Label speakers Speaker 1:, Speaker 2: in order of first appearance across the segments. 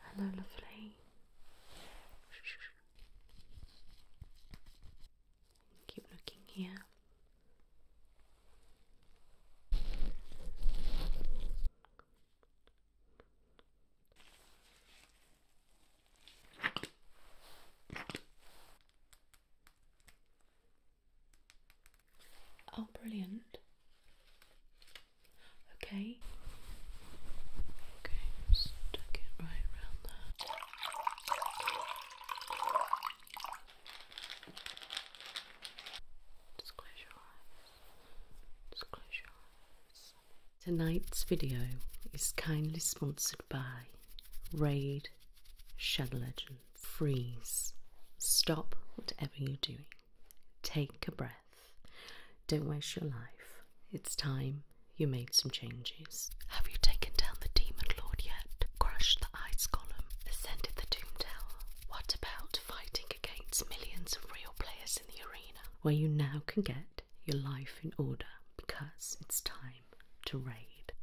Speaker 1: Hello, lovely. Keep looking here. Oh, brilliant. Okay. Okay, stick it right around there. Just your eyes. Just your eyes. Tonight's video is kindly sponsored by raid, shadow legend, freeze. Stop whatever you're doing. Take a breath. Don't waste your life. It's time you made some changes. Have you taken down the Demon Lord yet? Crushed the Ice Column? Ascended the Doom Tower? What about fighting against millions of real players in the arena? Where you now can get your life in order because it's time to raid.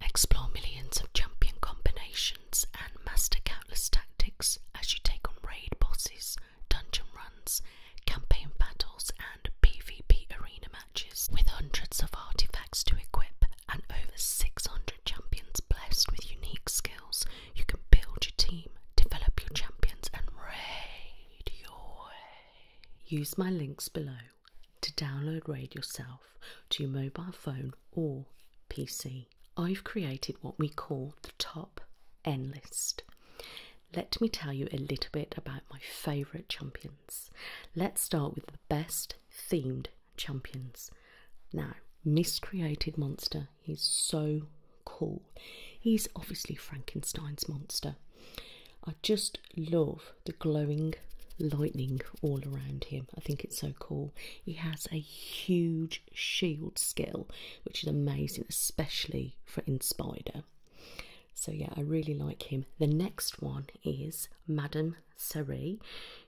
Speaker 1: Explore millions of champion combinations and master countless tactics as you take on raid bosses, dungeon runs, campaign battles, and PvP arena matches with hundreds of artifacts to equip and over 600 champions blessed with unique skills. You can build your team, develop your champions, and raid your way. Use my links below to download RAID yourself to your mobile phone or PC. I've created what we call the top N list. Let me tell you a little bit about my favourite champions. Let's start with the best themed champions. Now, miscreated monster is so cool. He's obviously Frankenstein's monster. I just love the glowing lightning all around him. I think it's so cool. He has a huge shield skill, which is amazing, especially for in Spider. So yeah, I really like him. The next one is Madame Seri.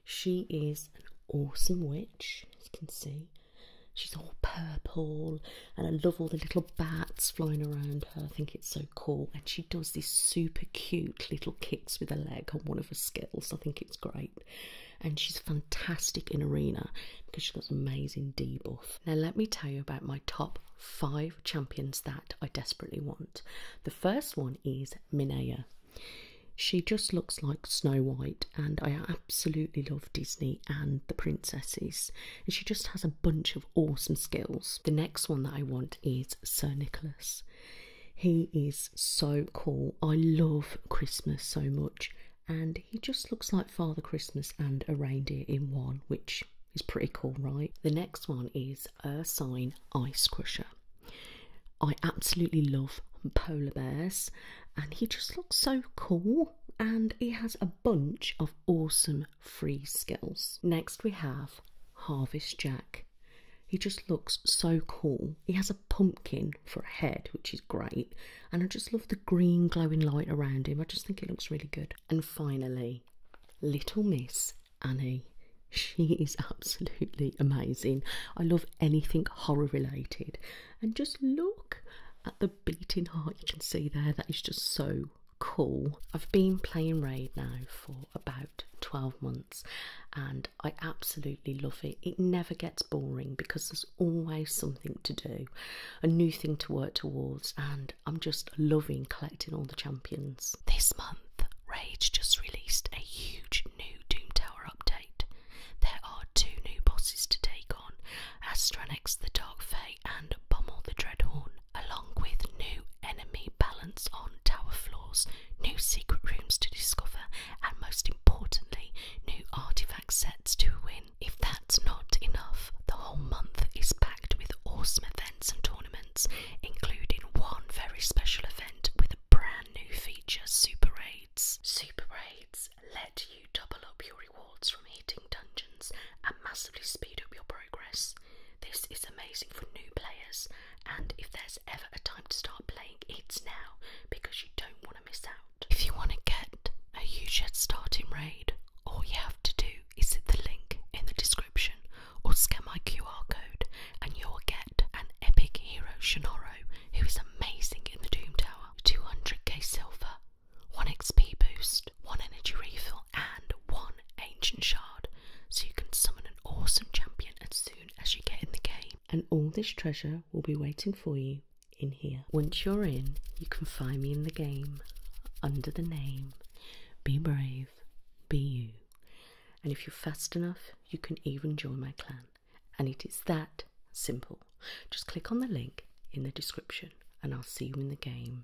Speaker 1: She is an awesome witch, as you can see. She's all purple, and I love all the little bats flying around her. I think it's so cool, and she does these super cute little kicks with her leg on one of her skills. I think it's great, and she's fantastic in arena because she's amazing debuff. Now, let me tell you about my top five champions that I desperately want. The first one is Minaya. She just looks like Snow White, and I absolutely love Disney and the princesses. And she just has a bunch of awesome skills. The next one that I want is Sir Nicholas. He is so cool. I love Christmas so much, and he just looks like Father Christmas and a reindeer in one, which is pretty cool, right? The next one is Ursine Ice Crusher. I absolutely love polar bears, and he just looks so cool. And he has a bunch of awesome free skills. Next, we have Harvest Jack. He just looks so cool. He has a pumpkin for a head, which is great. And I just love the green glowing light around him. I just think it looks really good. And finally, Little Miss Annie. She is absolutely amazing. I love anything horror related. And just look at the beating heart you can see there. That is just so cool. I've been playing Raid now for about 12 months and I absolutely love it. It never gets boring because there's always something to do, a new thing to work towards, and I'm just loving collecting all the champions. This month, Raid just released a huge new Doom Tower update. There are two new bosses to take on Astranex the Dark Fey and pummel the Dreadhorn, along with new enemy balance on tower floors, new secret rooms to discover, and most importantly, new artifact sets to win. If that's not enough, the whole month is packed with awesome events and tournaments, including one very special event with a brand new feature Super Raids. Super Raids let you double up your rewards from hitting dungeons and massively speed up your progress. This is amazing for new players, and if there's ever a time to start playing, it's now because you don't want to miss out. If you want to get a huge head start in Raid, all you have to do is hit the link in the description or scan my QR code, and you'll get an epic hero Shannoro who is amazing in the Doom Tower. 200k silver, 1 XP boost, 1 energy refill, and 1 ancient shard so you can summon an awesome champion as soon as you get in the game. And all this treasure will be waiting for you in here. Once you're in, you can find me in the game under the name Be Brave, Be You. And if you're fast enough, you can even join my clan. And it is that simple. Just click on the link in the description and I'll see you in the game.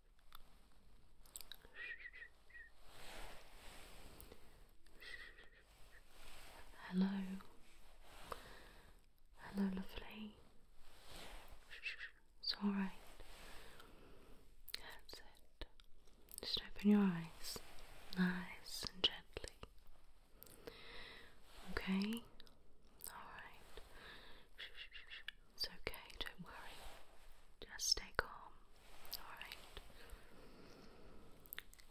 Speaker 1: Hello, hello, lovely. It's all right. That's it. Just open your eyes, nice and gently. Okay. All right. It's okay, don't worry. Just stay calm, alright?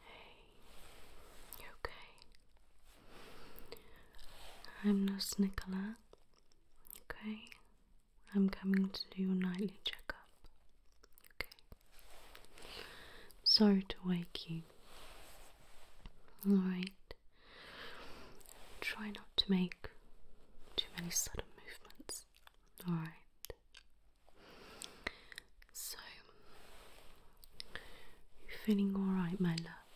Speaker 1: Hey, you okay? I'm Nurse Nicola, okay? I'm coming to do your nightly checkup, okay? Sorry to wake you, alright? Try not to make too many sudden movements. Alright. So, you feeling alright, my love?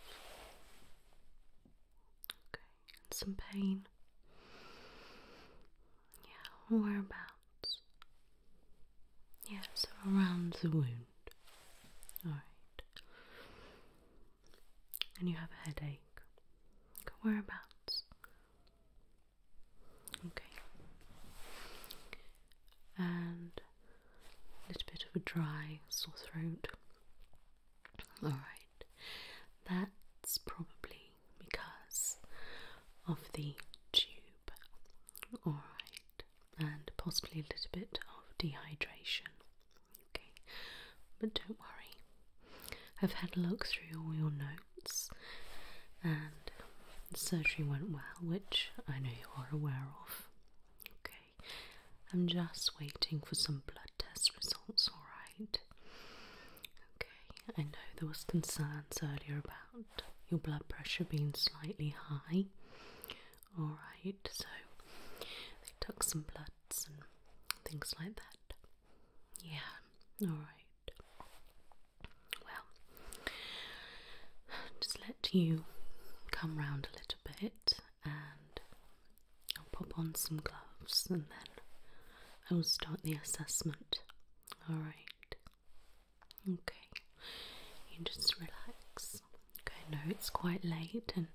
Speaker 1: Okay, and some pain. Yeah, whereabouts? Yeah, so around the wound. Alright. And you have a headache. Whereabouts? Okay. And a little bit of a dry sore throat. Alright. That's probably because of the tube. Alright. And possibly a little bit of dehydration okay? But don't worry, I've had a look through all your notes and the surgery went well, which I know you are aware of, okay? I'm just waiting for some blood test results, alright? Okay, I know there was concerns earlier about your blood pressure being slightly high. Alright, so they took some bloods and things like that. Yeah, alright. Well, just let you come round a little bit and I'll pop on some gloves and then I will start the assessment. Alright. Okay. You just relax. Okay, I it's quite late and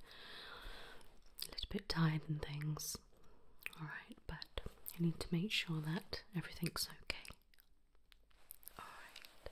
Speaker 1: a little bit tired and things, is. Alright, but you need to make sure that everything's okay. Alright.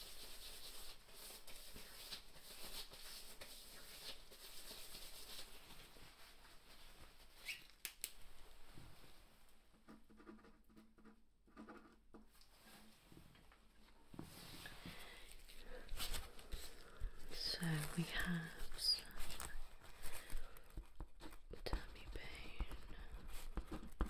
Speaker 1: So we have some tummy pain.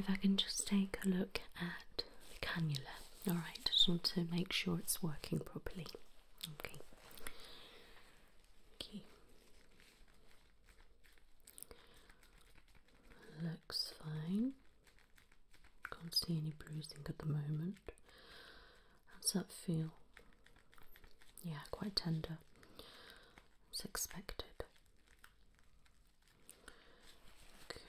Speaker 1: If I can just take a look at the cannula, all right, just want to make sure it's working properly. Okay. Okay. Looks fine. Can't see any bruising at the moment. How's that feel? Yeah, quite tender. It's expected. Okay.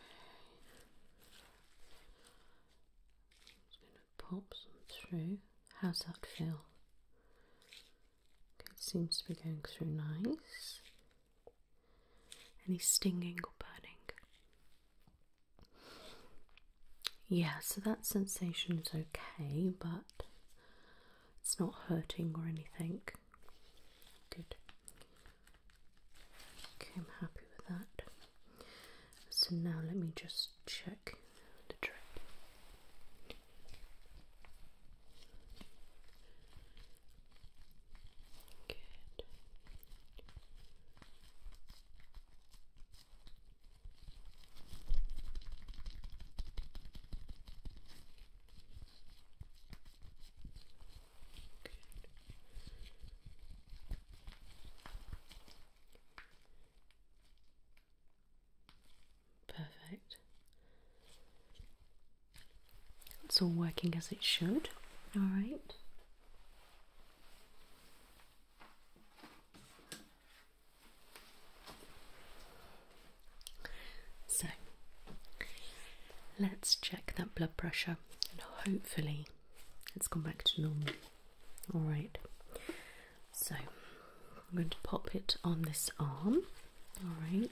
Speaker 1: Just gonna pop some through. How's that feel? it seems to be going through nice any stinging or burning. Yeah, so that sensation is okay, but it's not hurting or anything. Good. Okay, I'm happy with that. So now let me just check the drip. Perfect. It's all working as it should. All right. So let's check that blood pressure and hopefully it's gone back to normal. Alright, so I'm going to pop it on this arm. Alright,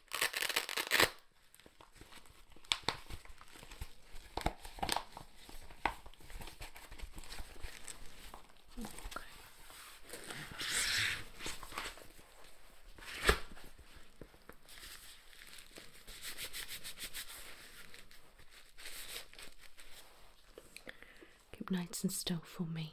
Speaker 1: Keep nights and still for me.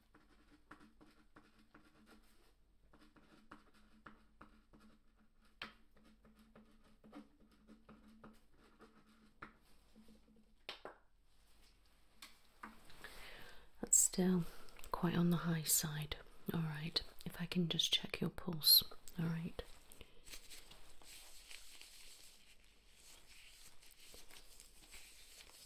Speaker 1: That's still quite on the high side. All right, if I can just check your pulse. All right.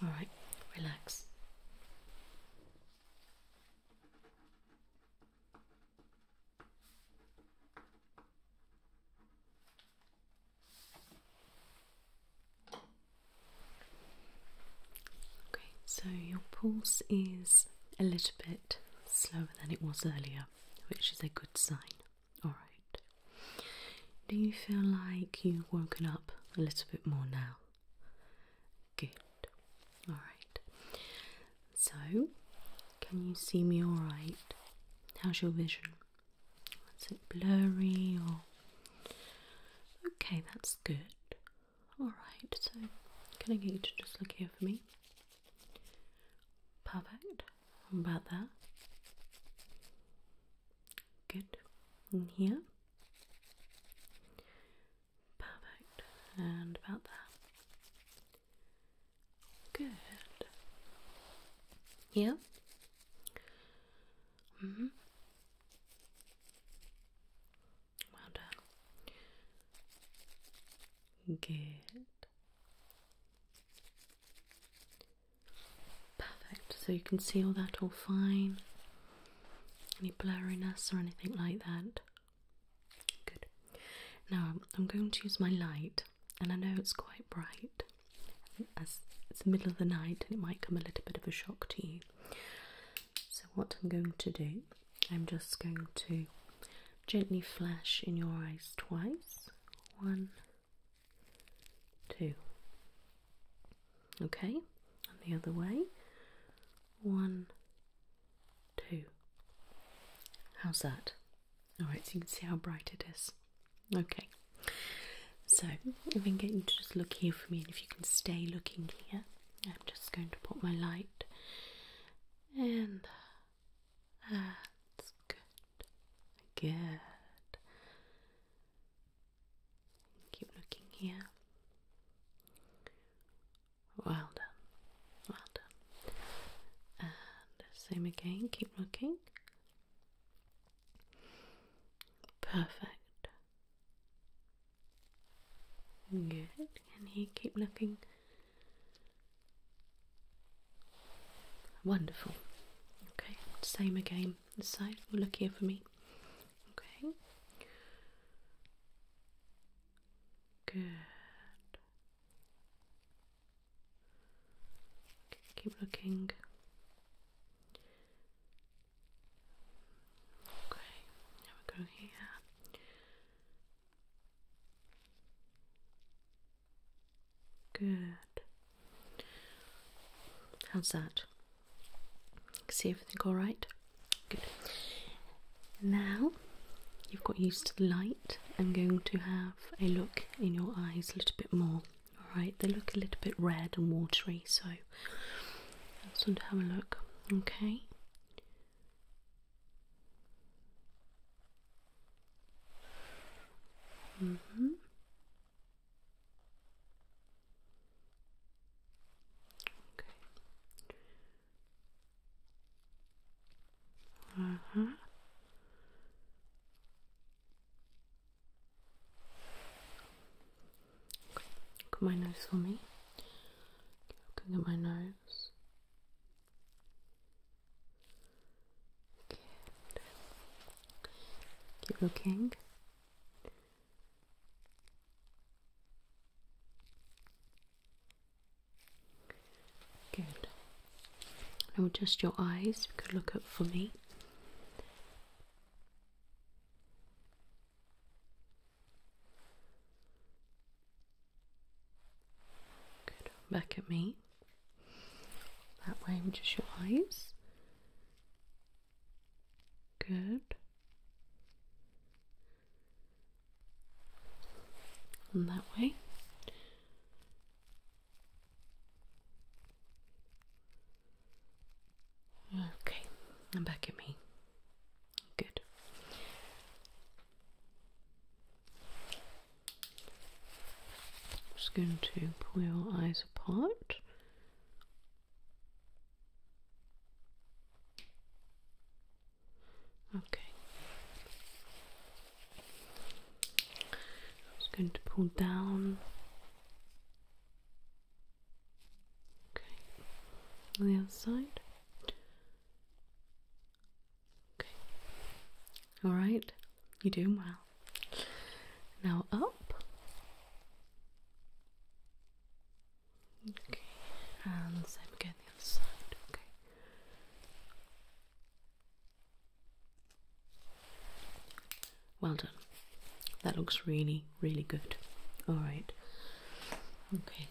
Speaker 1: All right, relax. Okay, so your pulse is a little bit slower than it was earlier, which is a good sign. Alright. Do you feel like you've woken up a little bit more now? Good. Alright. So, can you see me alright? How's your vision? Is it blurry or. Okay, that's good. Alright, so can I get you to just look here for me? Perfect. about that? Good. And here? Perfect. And about that? Good. Here? hmm well done. Good. Perfect. So you can see all that all fine. Any blurriness or anything like that? Good. Now I'm going to use my light, and I know it's quite bright. As it's the middle of the night, and it might come a little bit of a shock to you. So, what I'm going to do, I'm just going to gently flash in your eyes twice. One, two. Okay, and the other way. One, two. How's that? Alright, so you can see how bright it is. Okay, so if I can get you to just look here for me, and if you can stay looking here. I'm just going to put my light and That's good. Good. Keep looking here. Well done. Well done. And same again. Keep looking. Perfect. Good. Can you keep looking? Wonderful. Okay, same again. The side look here for me. Okay. Good. keep looking. Okay, now we go here. Good. How's that? See everything all right? Good. Now you've got used to the light, I'm going to have a look in your eyes a little bit more. Alright, they look a little bit red and watery, so let's have a look. Okay. Mm -hmm. Okay. Uh huh. Okay, look at my nose for me. Looking at my nose. Good. Keep looking. Good. And Now just your eyes. You could look up for me. Back at me. That way with just your eyes. Good. And that way. Okay, and back at me. Good. I'm just going to pull your eyes apart. Okay. I'm just going to pull down Okay. On the other side. Okay. Alright, you're doing well. Now up. Okay, and same again the other side. Okay. Well done. That looks really really good. All right. Okay.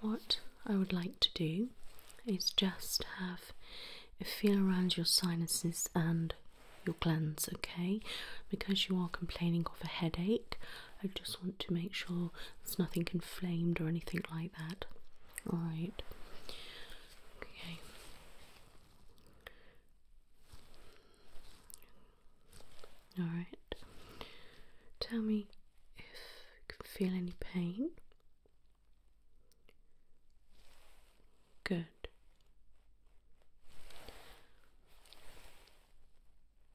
Speaker 1: What I would like to do is just have a feel around your sinuses and your glands, okay? Because you are complaining of a headache, I just want to make sure there's nothing inflamed or anything like that. All right. Okay. All right. Tell me if you can feel any pain. Good.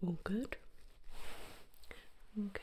Speaker 1: All good. Okay.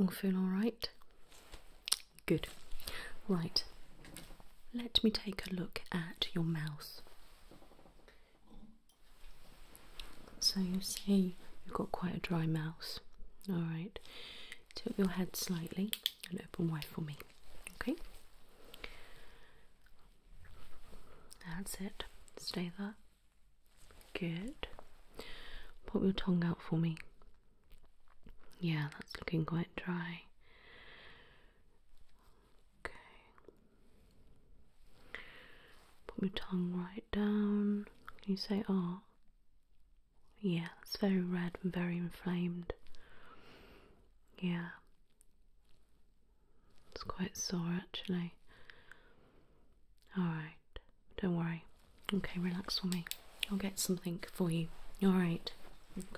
Speaker 1: I feel alright? Good. Right. Let me take a look at your mouth. So you see, you've got quite a dry mouth. Alright. Tilt your head slightly and open wide for me. Okay? That's it. Stay there. Good. Put your tongue out for me. Yeah, that's looking quite dry. Okay. Put your tongue right down. Can you say ah? Oh. Yeah, it's very red and very inflamed. Yeah. It's quite sore actually. Alright, don't worry. Okay, relax for me. I'll get something for you. Alright, okay.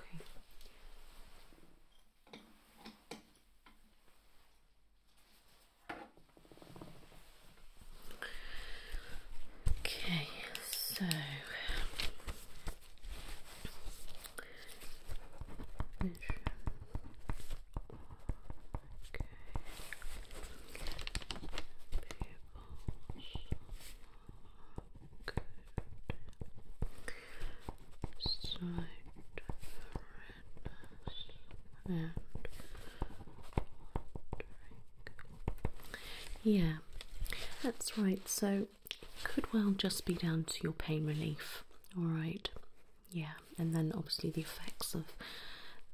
Speaker 1: Okay, so yeah, that's right. So, could well just be down to your pain relief. All right, yeah and then obviously the effects of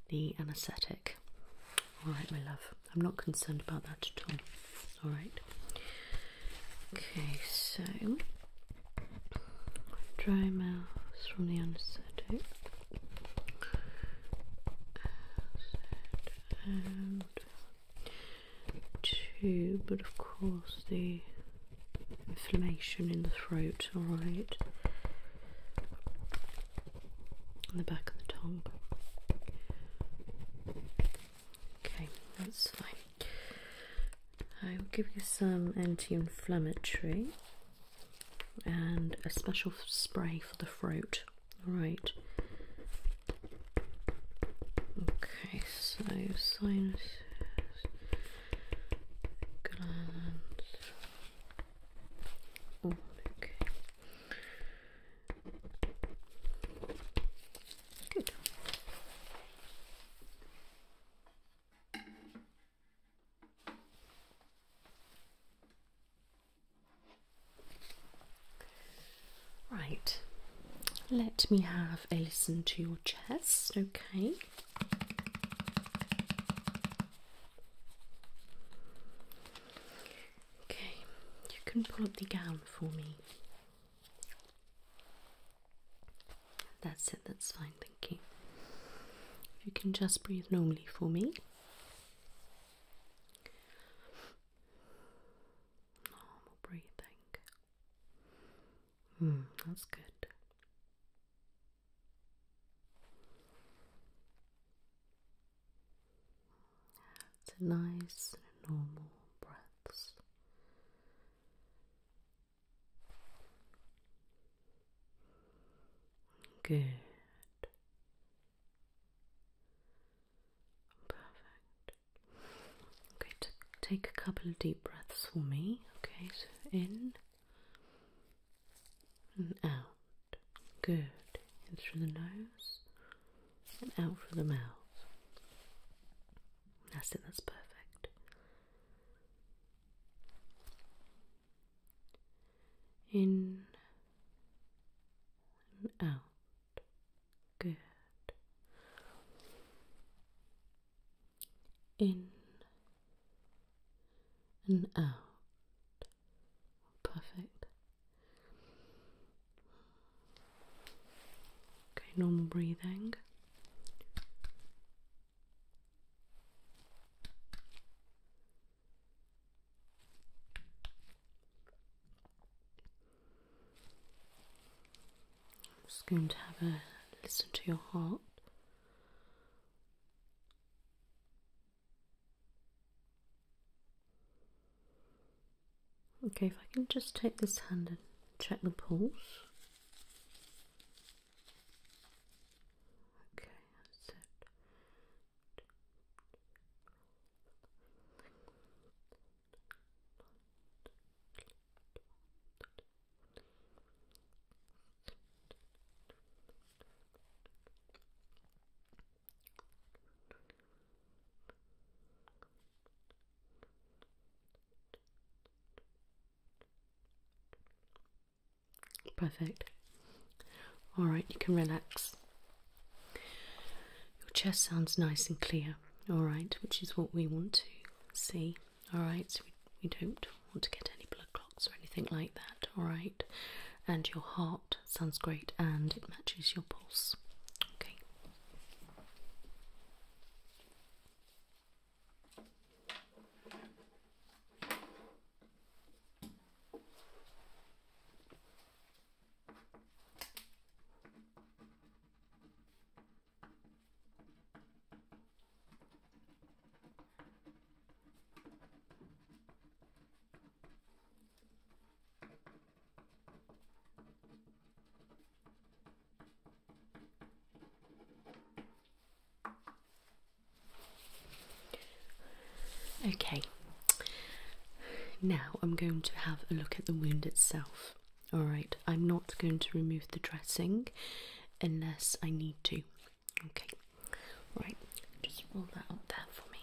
Speaker 1: the anaesthetic. All right, my love, I'm not concerned about that at all. All right. Okay, so dry mouth from the anaesthetic. And two, but of course the inflammation in the throat. All right on the back of the tongue. Okay, that's fine. I will give you some anti inflammatory and a special spray for the throat. Alright. Okay, so sinus glands okay. Right, let me have a listen to your chest, okay? Okay, you can pull up the gown for me. That's it, that's fine, thank you. you can just breathe normally for me. Normal breathing. Hmm, that's good. So nice, normal breaths. Good. Perfect. Okay, take a couple of deep breaths for me. Okay, so in and out. Good. In through the nose and out through the mouth. That's it, that's perfect. In and out. Good. In and out. Perfect. Okay, normal breathing. just going to have a listen to your heart. Okay, if I can just take this hand and check the pulse. Okay, that's it. Perfect. All right, you can relax. Your chest sounds nice and clear, all right, which is what we want to see. All right, so we, we don't want to get any blood clots or anything like that, alright? And your heart sounds great and it matches your pulse, Okay, Okay, now I'm going to have a look at the wound itself. Alright, I'm not going to remove the dressing unless I need to. Okay, right, just roll that up there for me.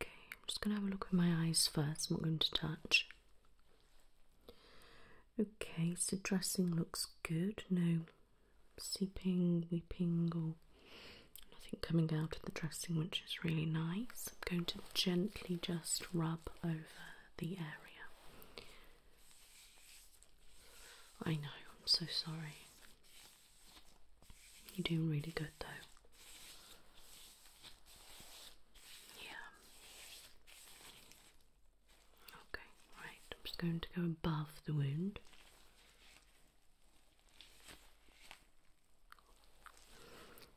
Speaker 1: Okay, I'm just going to have a look with my eyes first. I'm not going to touch. Okay, so dressing looks good. No seeping, weeping, or nothing coming out of the dressing, which is really nice. I'm going to gently just rub over the area. I know, I'm so sorry. You're doing really good though. Yeah. Okay, right. I'm just going to go above the wound.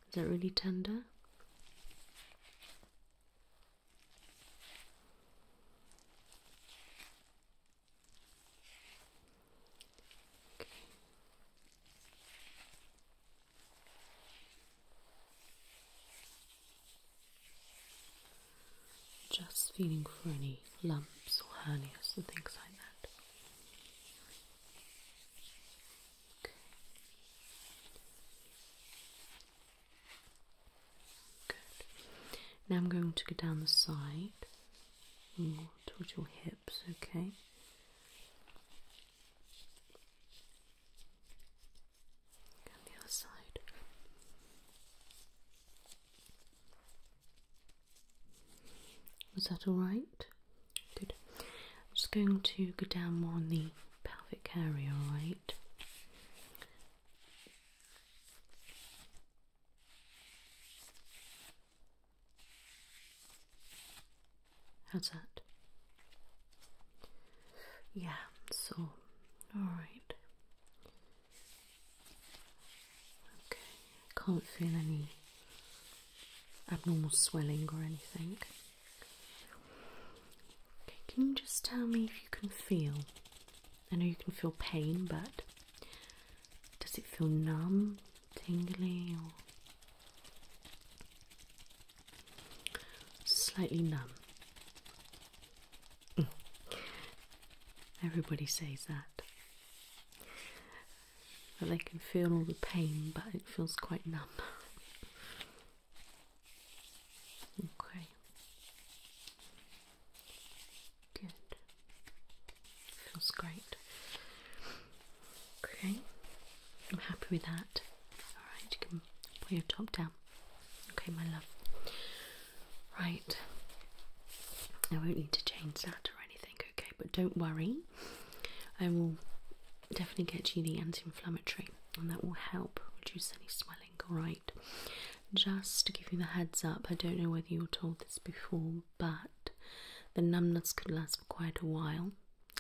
Speaker 1: Is that really tender? Just feeling for any lumps or hernias or things like that. Good. Now I'm going to go down the side towards your hips, okay? And the other side. Was that all right? Good. I'm just going to go down more on the pelvic area, Right. How's that? Yeah, so, alright. Okay, I can't feel any abnormal swelling or anything. Okay, can you just tell me if you can feel I know you can feel pain, but does it feel numb, tingling, or slightly numb? Mm. Everybody says that. That they can feel all the pain, but it feels quite numb. Okay. Good. Feels great. Okay, I'm happy with that. Alright, you can put your top down. Okay, my love. Right. I won't need to change that or anything, okay? But don't worry, I will definitely get you the anti inflammatory and that will help reduce any swelling. Alright, Just to give you the heads up, I don't know whether you were told this before, but the numbness could last for quite a while.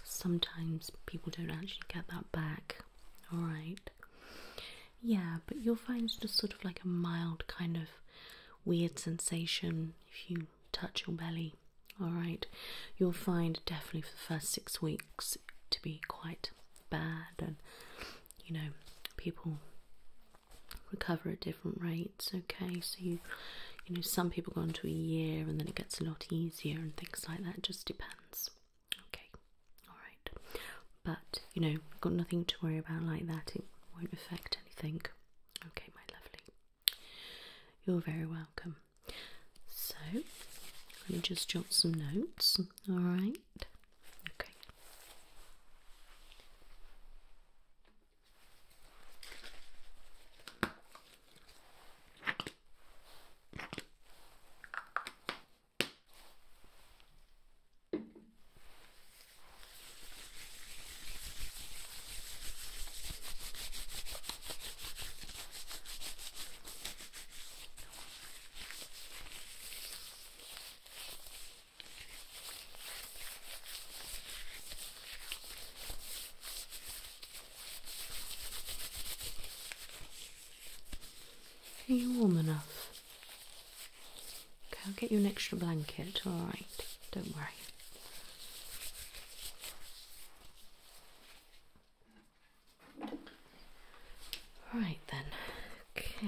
Speaker 1: Sometimes people don't actually get that back. Alright. Yeah, but you'll find it's just sort of like a mild kind of weird sensation if you touch your belly. Alright. You'll find definitely for the first six weeks to be quite bad and you know, people recover at different rates, okay? So you you know, some people go into a year and then it gets a lot easier and things like that. just depends. Okay, alright. But, you know, got nothing to worry about like that. It won't affect anything. Okay, my lovely. You're very welcome. So, let me just jot some notes, alright? feet. Okay. Okay. Are you warm enough? Okay, I'll get you an extra blanket, alright, don't worry. All right then, okay.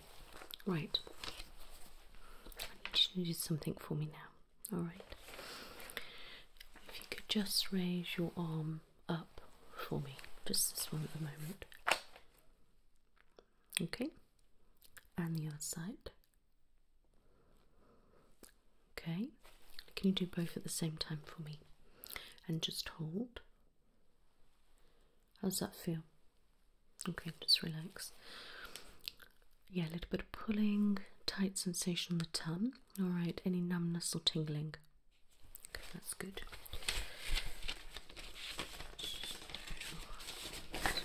Speaker 1: right. I need you do something for me now. All right. If you could just raise your arm up for me, just this one at the moment. Okay. And the other side. Okay. Can you do both at the same time for me? And just hold. How does that feel? Okay, just relax. Yeah, a little bit of pulling, tight sensation on the tongue. Alright, any numbness or tingling? Okay, that's good.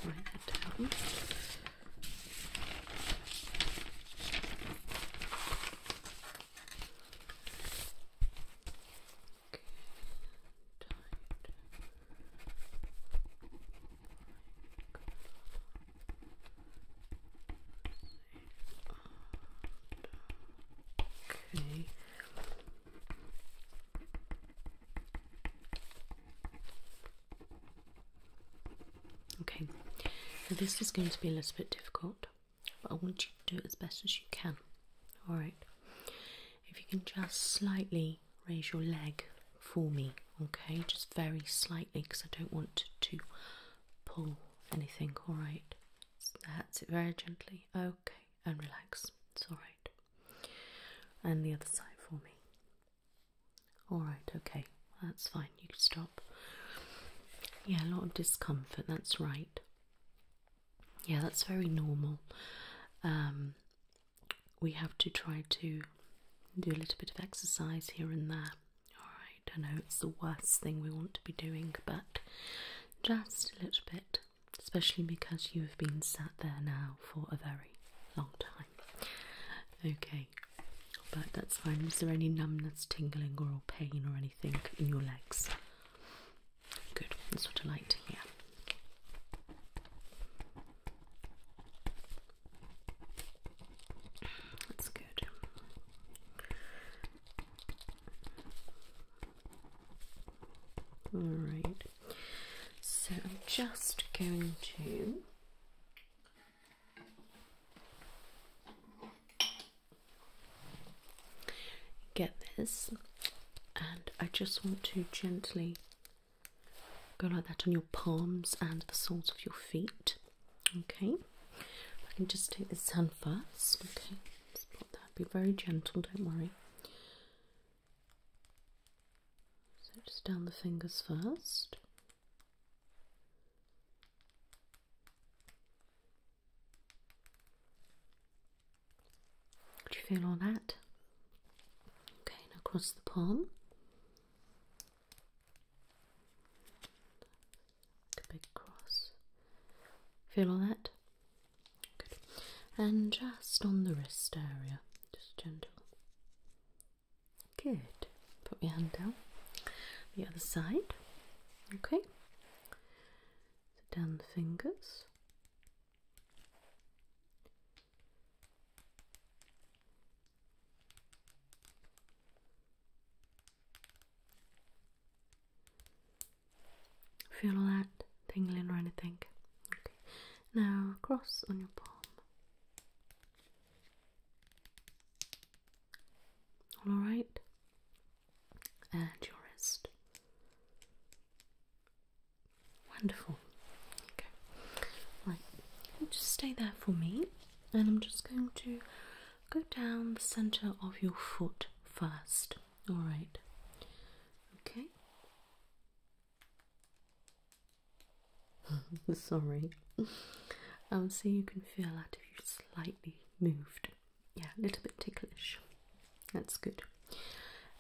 Speaker 1: write that down. Okay. Okay, now this is going to be a little bit difficult, but I want you to do it as best as you can. Alright, if you can just slightly raise your leg for me, okay? Just very slightly because I don't want to pull anything, alright? That's it, very gently, okay, and relax, it's alright. And the other side for me. Alright, okay, that's fine, you can stop. Yeah, a lot of discomfort, that's right. Yeah, that's very normal. Um, we have to try to do a little bit of exercise here and there. Alright, I know it's the worst thing we want to be doing, but just a little bit, especially because you have been sat there now for a very long time. Okay, but that's fine. Is there any numbness, tingling, or pain or anything in your legs? Good, that's what I like to hear. That's good. All right. So I'm just going to get this and I just want to gently Go like that on your palms and the soles of your feet. Okay, I can just take this hand first. Okay, put that. Be very gentle, don't worry. So just down the fingers first. Do you feel all that? Okay, across the palm. The big cross. Feel all that? Good. And just on the wrist area, just gentle. Good. Put your hand down. The other side. Okay. So down the fingers. Feel all that tingling or anything? Okay. Now cross on your palm. Alright. And your wrist. Wonderful. Okay. Right. just stay there for me, and I'm just going to go down the center of your foot first. All right. Okay. Sorry. I'll see you can feel that if you slightly moved. Yeah, a little bit ticklish. That's good.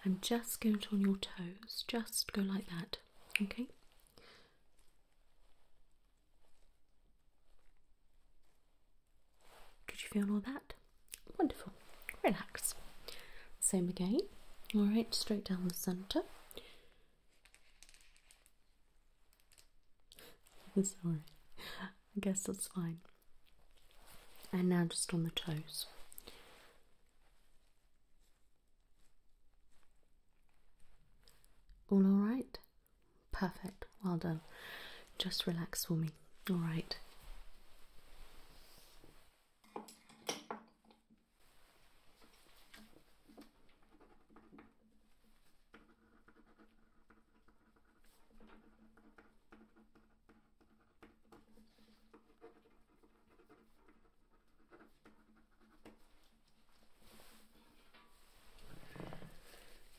Speaker 1: I'm just going to on your toes, just go like that. Okay. Did you feel all that? Wonderful. Relax. Same again. All right, straight down the center. Sorry. I guess that's fine. And now just on the toes alright? Perfect, well done. Just relax for me, alright?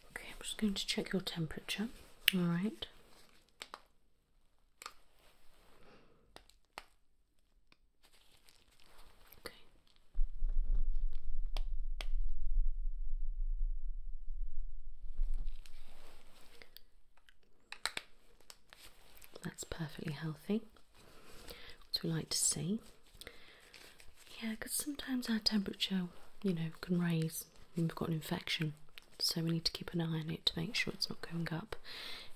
Speaker 1: Okay, I'm just going to check your temperature. All right. Okay. That's perfectly healthy. What we like to see. Yeah, because sometimes our temperature, you know, can raise when we've got an infection. So we need to keep an eye on it to make sure it's not going up.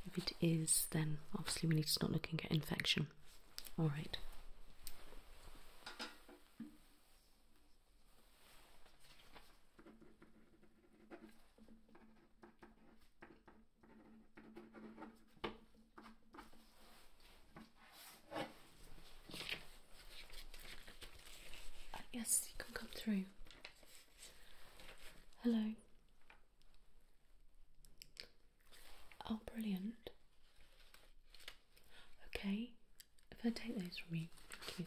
Speaker 1: If it is, then obviously we need to start looking at infection. All right. Uh, yes, you can come through. Hello. Oh, brilliant. Okay, if I take those from you, thank you.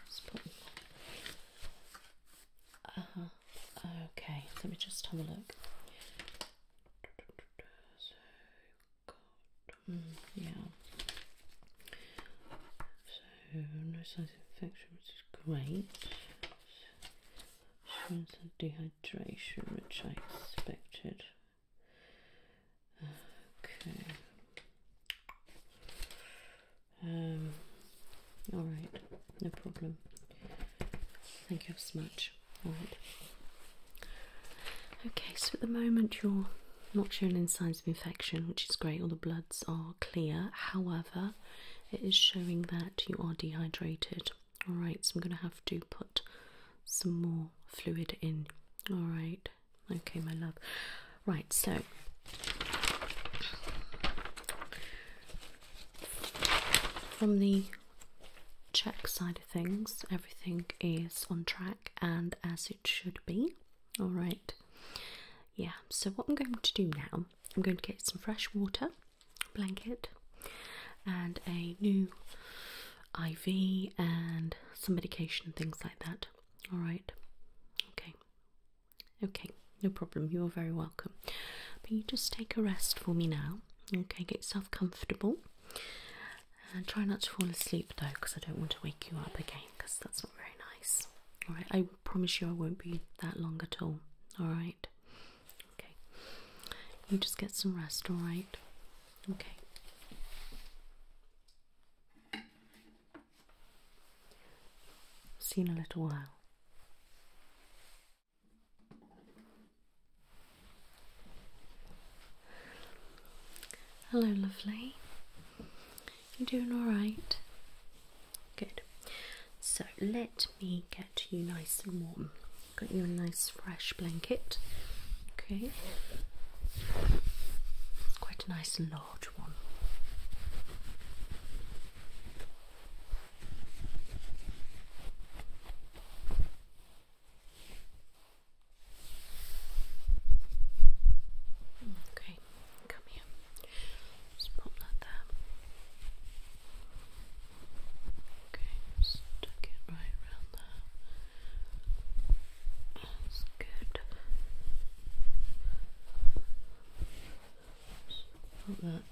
Speaker 1: Uh huh. Okay, let me just have a look. Mm, yeah. So, no signs of infection, which is great. Assurance and dehydration, which I expected. Okay. Um, all right, no problem. Thank you so much. All right. Okay, so at the moment you're not showing any signs of infection, which is great. All the bloods are clear. However, it is showing that you are dehydrated. All right, so I'm going to have to put some more fluid in. All right. Okay, my love. Right, so from the check side of things, everything is on track and as it should be. All right. Yeah, so what I'm going to do now, I'm going to get some fresh water, blanket, and a new IV and some medication things like that. All right. Okay. Okay, no problem. You're very welcome. But you just take a rest for me now. Okay, get yourself comfortable. And uh, try not to fall asleep though, because I don't want to wake you up again, because that's not very nice. Alright, I promise you I won't be that long at all. Alright? Okay. You just get some rest, alright? Okay. See you in a little while. Hello, lovely. You doing all right? Good. So let me get you nice and warm. Got you a nice fresh blanket. Okay. quite a nice and large one. Okay, come here. Just pop that there. Okay, stick it right around there. That's good. Just pop that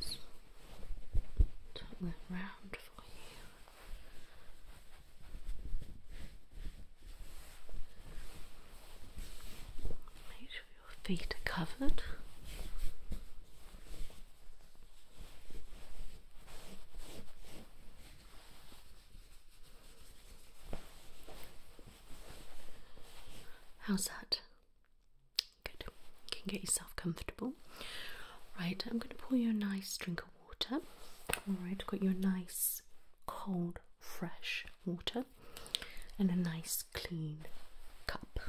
Speaker 1: so, turn round for you. Make sure your feet are covered. How's that? Good. You can get yourself comfortable. Right, I'm going to pour you a nice drink of water. Alright, got your nice cold, fresh water and a nice clean cup.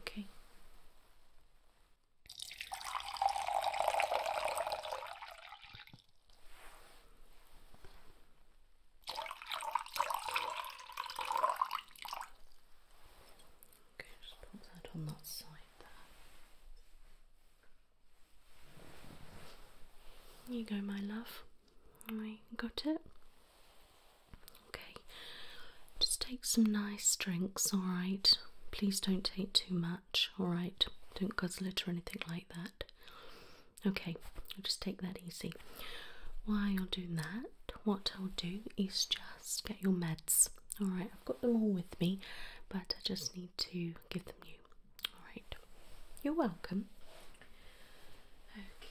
Speaker 1: Okay. Okay, just put that on that side there. You go, my love. I got it. Okay, just take some nice drinks, alright? Please don't take too much, alright? Don't guzzle it or anything like that. Okay, i just take that easy. While you're doing that, what I'll do is just get your meds. Alright, I've got them all with me, but I just need to give them you. All right, you're welcome. Okay,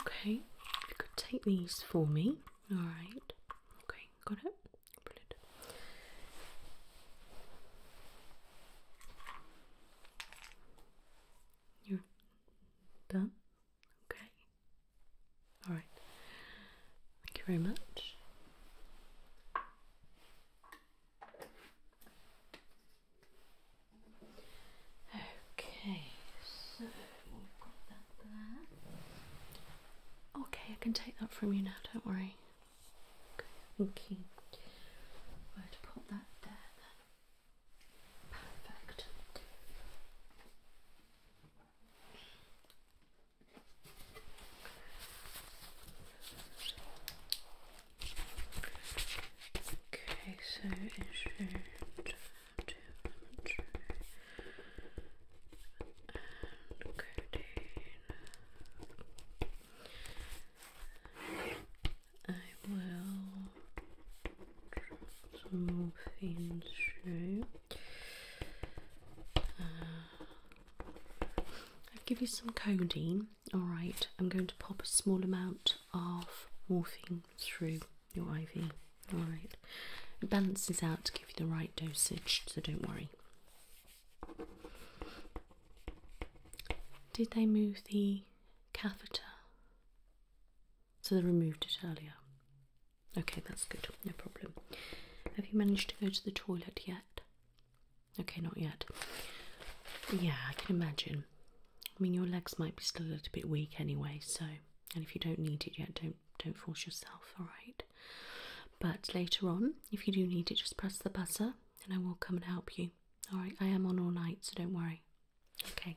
Speaker 1: Okay, you could take these for me. Alright. Okay, got it? Brilliant. You're done? Okay. Alright. Thank you very much. Okay, so Okay, I can take that from you now, don't worry. Okay, thank you. put that there Perfect. Okay, so it I will draw things through. I'll give you some codeine. Alright, I'm going to pop a small amount of morphine through your IV. Alright. It balances out to give you the right dosage, so don't worry. Did they move the catheter? So they removed it earlier. Okay, that's good, no problem. Have you managed to go to the toilet yet? Okay, not yet. Yeah, I can imagine. I mean, your legs might be still a little bit weak anyway, so and if you don't need it yet, don't don't force yourself. All right. But later on, if you do need it, just press the buzzer, and I will come and help you. All right. I am on all night, so don't worry. Okay.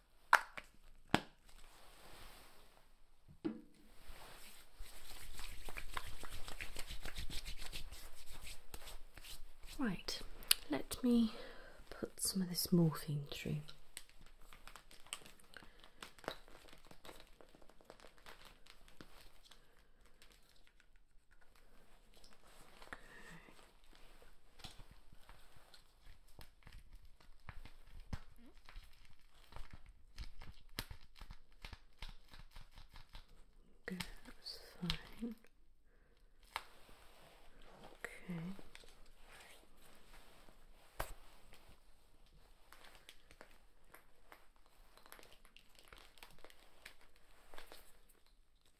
Speaker 1: Right, let me put some of this morphine through. Okay, that's fine. Okay.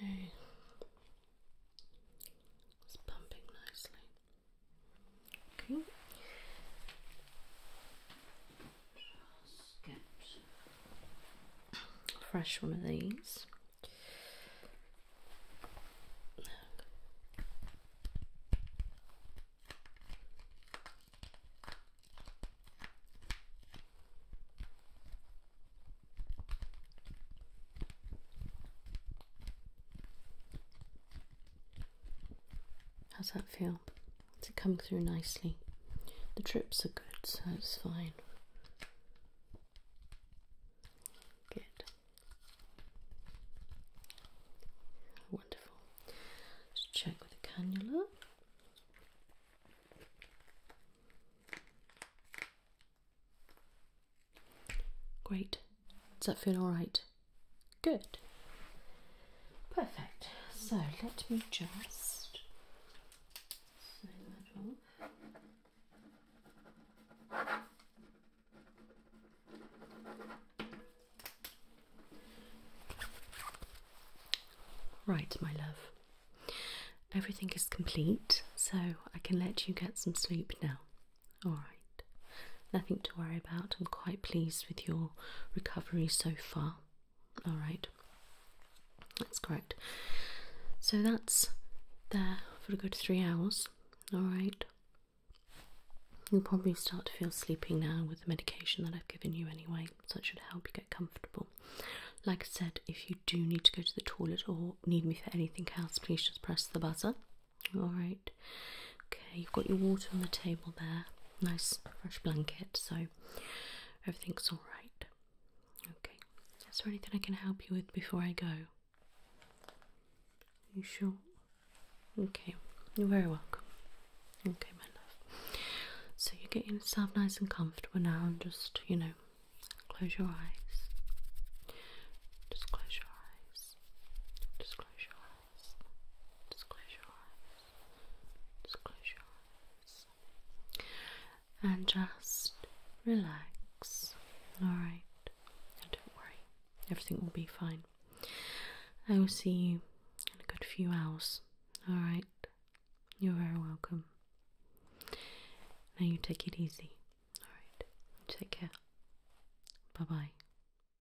Speaker 1: Okay. Okay. It's pumping nicely. Okay. fresh one of these. How's that feel? Does it come through nicely? The trips are good, so it's fine. Good. Wonderful. let check with the cannula. Great. Does that feel alright? Good. Perfect. So let me just Right, my love. Everything is complete, so I can let you get some sleep now. Alright. Nothing to worry about. I'm quite pleased with your recovery so far. All right, that's correct. So that's there for a good three hours. All right. You'll probably start to feel sleepy now with the medication that I've given you anyway, so it should help you get comfortable. Like I said, if you do need to go to the toilet or need me for anything else, please just press the buzzer. All right. Okay, you've got your water on the table there. Nice fresh blanket, so everything's all right. Okay. Is there anything I can help you with before I go? You sure? Okay. You're very welcome. Okay, my love. So you get yourself nice and comfortable now, and just you know, close your eyes. Just close your eyes. Just close your eyes. Just close your eyes. Just close your eyes. And just relax. Alright. Don't worry. Everything will be fine. I will see you in a good few hours. Alright. You're very welcome. Now you take it easy. Alright. Take care. Bye bye.